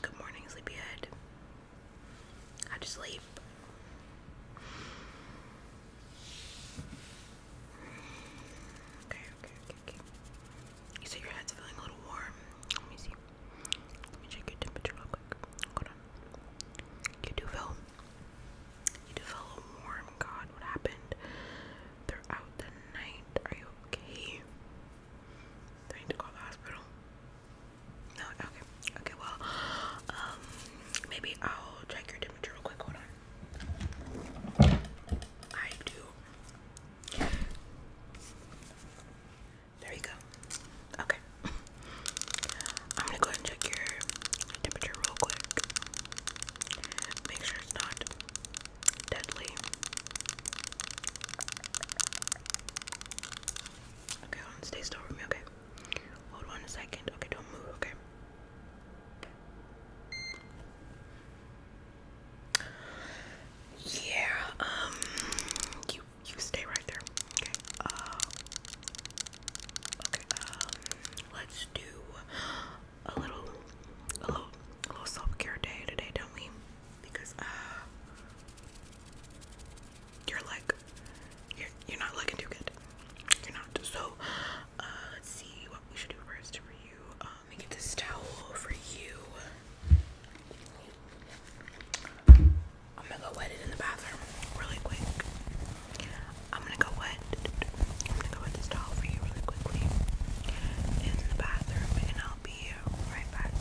Good morning, sleepyhead. How'd you sleep? Okay, okay, okay, okay. You said your head's feeling a little warm. Let me see. Let me check your temperature real quick. Hold on. You do feel. You do feel a little warm. God, what happened? throughout the night. Are you okay? I need to call the hospital? No, okay. Okay, well, um, maybe I'll check your temperature real quick. Hold on. I do. There you go. Okay. I'm gonna go and check your temperature real quick. Make sure it's not deadly. Okay, hold on, stay still with me, okay? Hold on a second. Okay, don't move, okay? Yeah, um you you stay right there. Okay. Uh, okay, um let's do a little, a little, a little self-care day today, don't we? Because uh, you're like, you're you're not looking too good. You're not. So uh, let's see what we should do first for you. Um, get this towel for you. I'm gonna go wet it in the bathroom really quick. I'm gonna go wet. I'm gonna go wet this towel for you really quickly in the bathroom, and I'll be right back.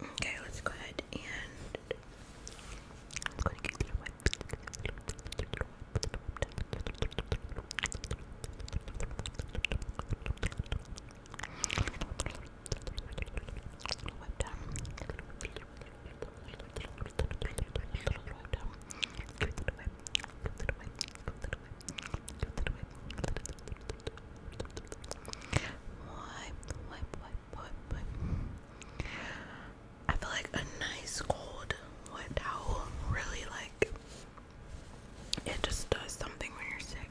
Okay, let's go ahead and let's go ahead get a little wet. Wipe, wipe, wipe, wipe, wipe. I feel like a nice cold wet towel really like it just does something when you're sick.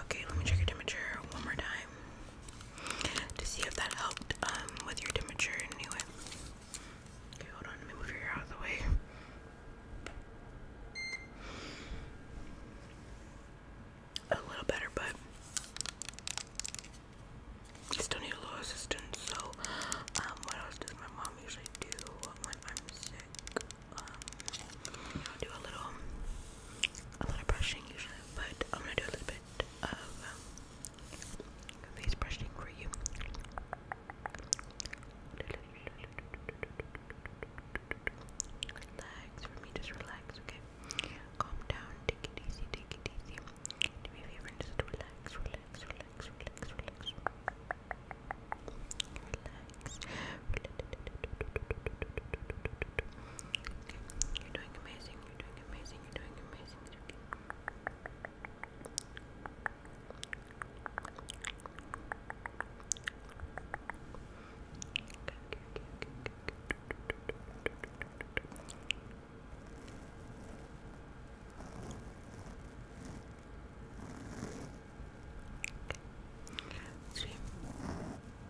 Okay, let me check your temperature one more time to see if that helped um, with your temperature anyway. Okay, hold on, let me move your hair out of the way. A little better, but I still need a little assistance. So, um, what else does my mom usually do when I'm sick? Um, do a little a lot of brushing usually, but I'm gonna do a little bit of um, face brushing for you. Relax for me, just relax, okay? Calm down, take it easy, take it easy. Do me a favor and just relax, relax, relax, relax, relax. Relax. You're doing amazing. You're doing amazing. You're doing amazing. Okay. Three,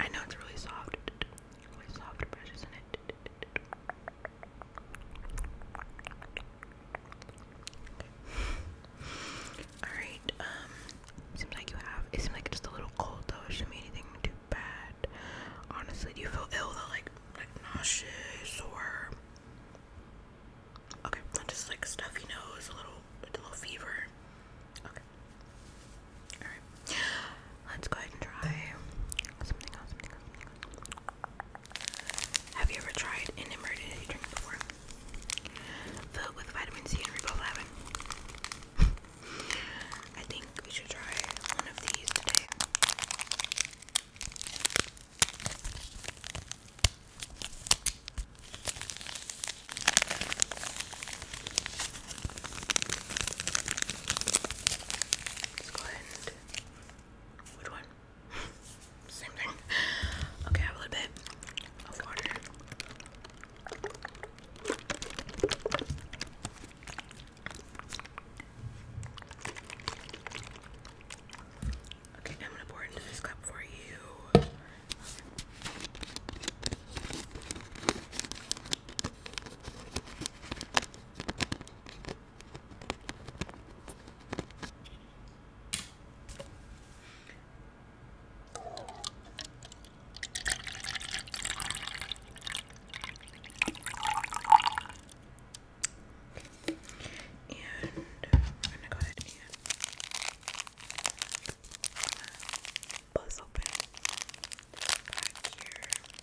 I know it's really soft. Really soft brush, is it? Alright, um, seems like you have, it seems like it's just a little cold though, it shouldn't be anything too bad. Honestly, do you feel ill though, like, like nauseous or, okay, just like stuffy nose, a little, a little fever, okay. Let's go ahead and try Have you ever tried an emergency drink before? Filled with vitamin C and riboflavin. I think we should try one of these today. Let's go ahead Which one? Same thing. Okay, I have a little bit of water. Okay, I'm gonna pour into this cup for you. And I'm gonna go ahead and Buzz open back here. Okay.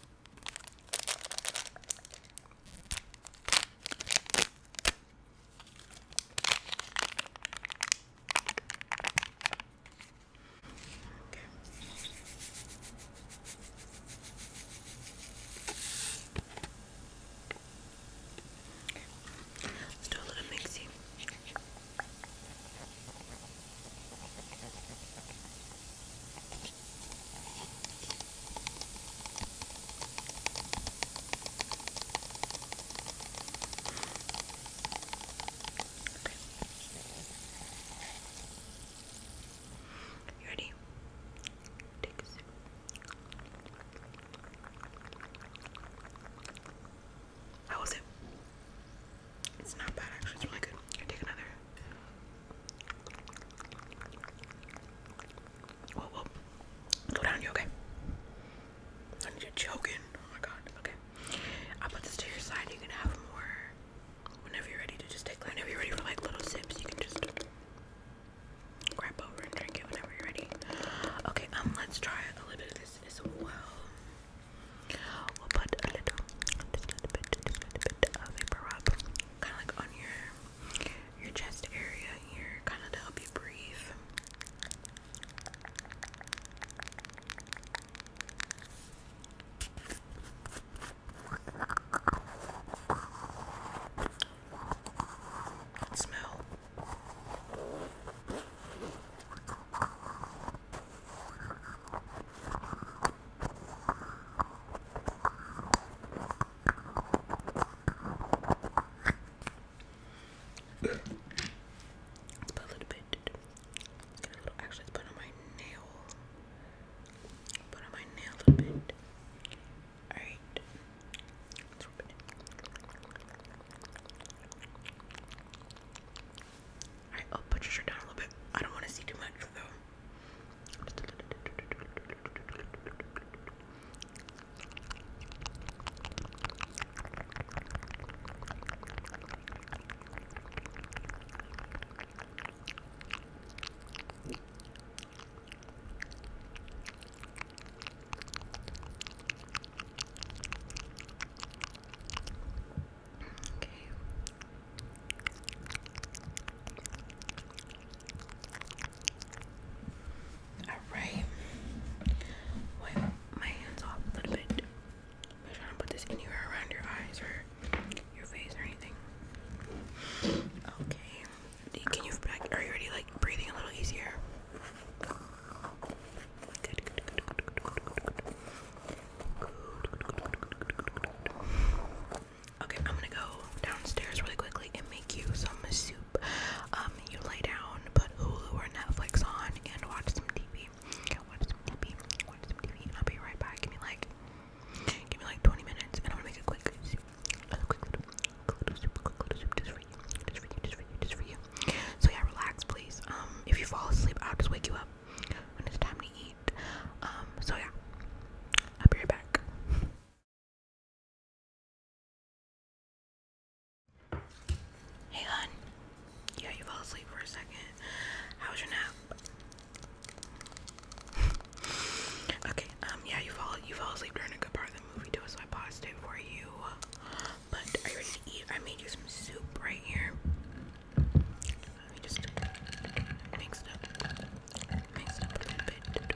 Let's do a little mixing. You ready? Take a sip. How was it? It's not bad actually, it's really good. I take another? Whoa, whoa. Go down, you okay? I you choking. Oh my god, okay. i put this to your side. You can have more whenever you're ready to just take, whenever you're ready for like little sips, you can just grab over and drink it whenever you're ready. Okay, um, let's try a little bit of this as well. We'll put a little, bit, of vapor kind of like on your your chest area here, kind of to help you breathe. Smell let a little bit. Let's get a little. Actually, put on my nail. Put on my nail a little bit. Alright. Alright, I'll put your shirt down a little bit. I don't want to see too much though. Okay. Alright. Wipe my hands off a little bit. I'm put this anywhere around your eyes or your face or anything. Okay. Can you Are you already like breathing a little easier? Okay, I'm gonna go downstairs really quickly and make you some soup. Um, you lay down, put Hulu or Netflix on, and watch some TV. Watch some TV. Watch some TV. I'll be right back. Give me like, give me like 20 minutes, and I'm make a quick soup. So yeah, relax, please. Um, if you fall asleep, I'll just wake you up when it's time to eat. Um, so yeah, I'll be right back. Hey, hon. Yeah, you fell asleep for a second. How was your nap? Okay, um, yeah, you fall you fall asleep during a good part of the movie too, so I paused it for you. But are you ready to eat? I made you some soup right here. Let me just mix it up. Mix it up a little bit.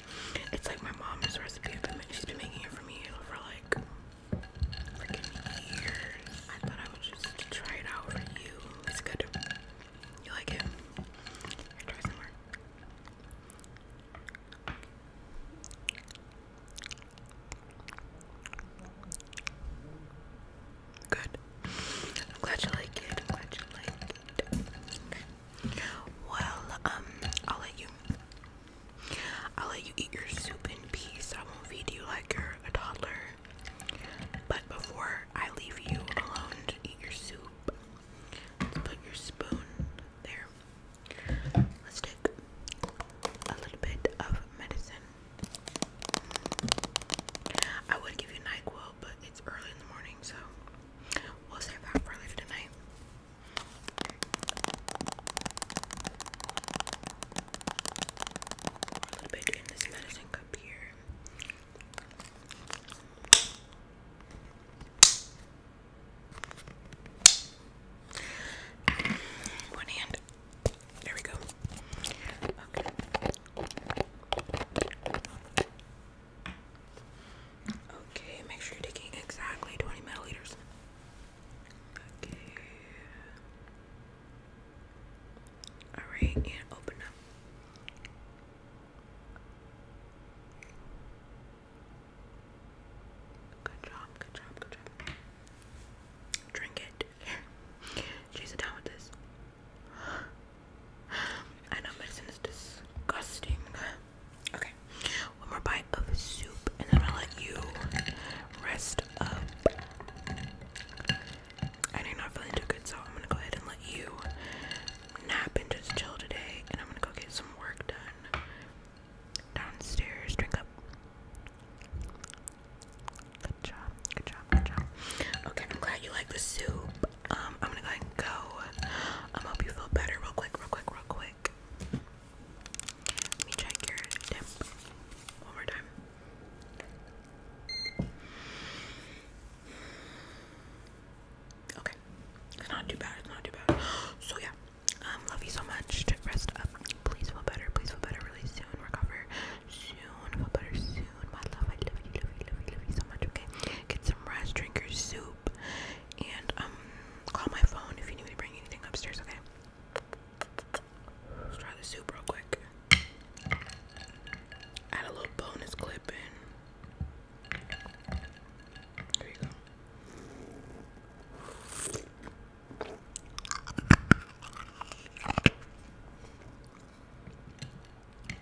It's like my mom's recipe. She's been making it for me for like freaking years. I thought I would just try it out for you. It's good. You like it? try some more. Good. I'm glad you like it. I'm glad you like it. Well, um, I'll let you I'll let you eat your soup in peace. I won't feed you like you're a toddler. But before I leave you alone to eat your soup, let's put your spoon there. Let's take a little bit of medicine. I would give you NyQuil, but it's early in the morning, so we'll save that for later tonight a little bit in this medicine cup here. One hand. There we go. Okay. Okay, make sure you're taking exactly 20 milliliters. Okay. Alright, and open up. Good job, good job, good job. Drink it. She's down with this. I know medicine is disgusting. Okay, one more bite of soup, and then I'm gonna let you rest up. I know you're not feeling too good, so I'm gonna go ahead and let you nap and just chill today, and I'm gonna go get some work done downstairs. Drink up. Good job, good job, good job. Okay, I'm glad you like the soup. Um, I'm gonna go ahead and go. Um, hope you feel better real quick, real quick, real quick. Let me check your temp one more time. Okay, it's not too bad. It's not too bad. So yeah, um, love you so much. Rest up. Please feel better. Please feel better really soon. Recover soon. Feel better soon. My love, I love you, love you, love you, love you so much. Okay, get some rest. Drink your soup and um call my phone if you need to bring anything upstairs, okay? try the soup real quick. Add a little bonus clip in. There you go.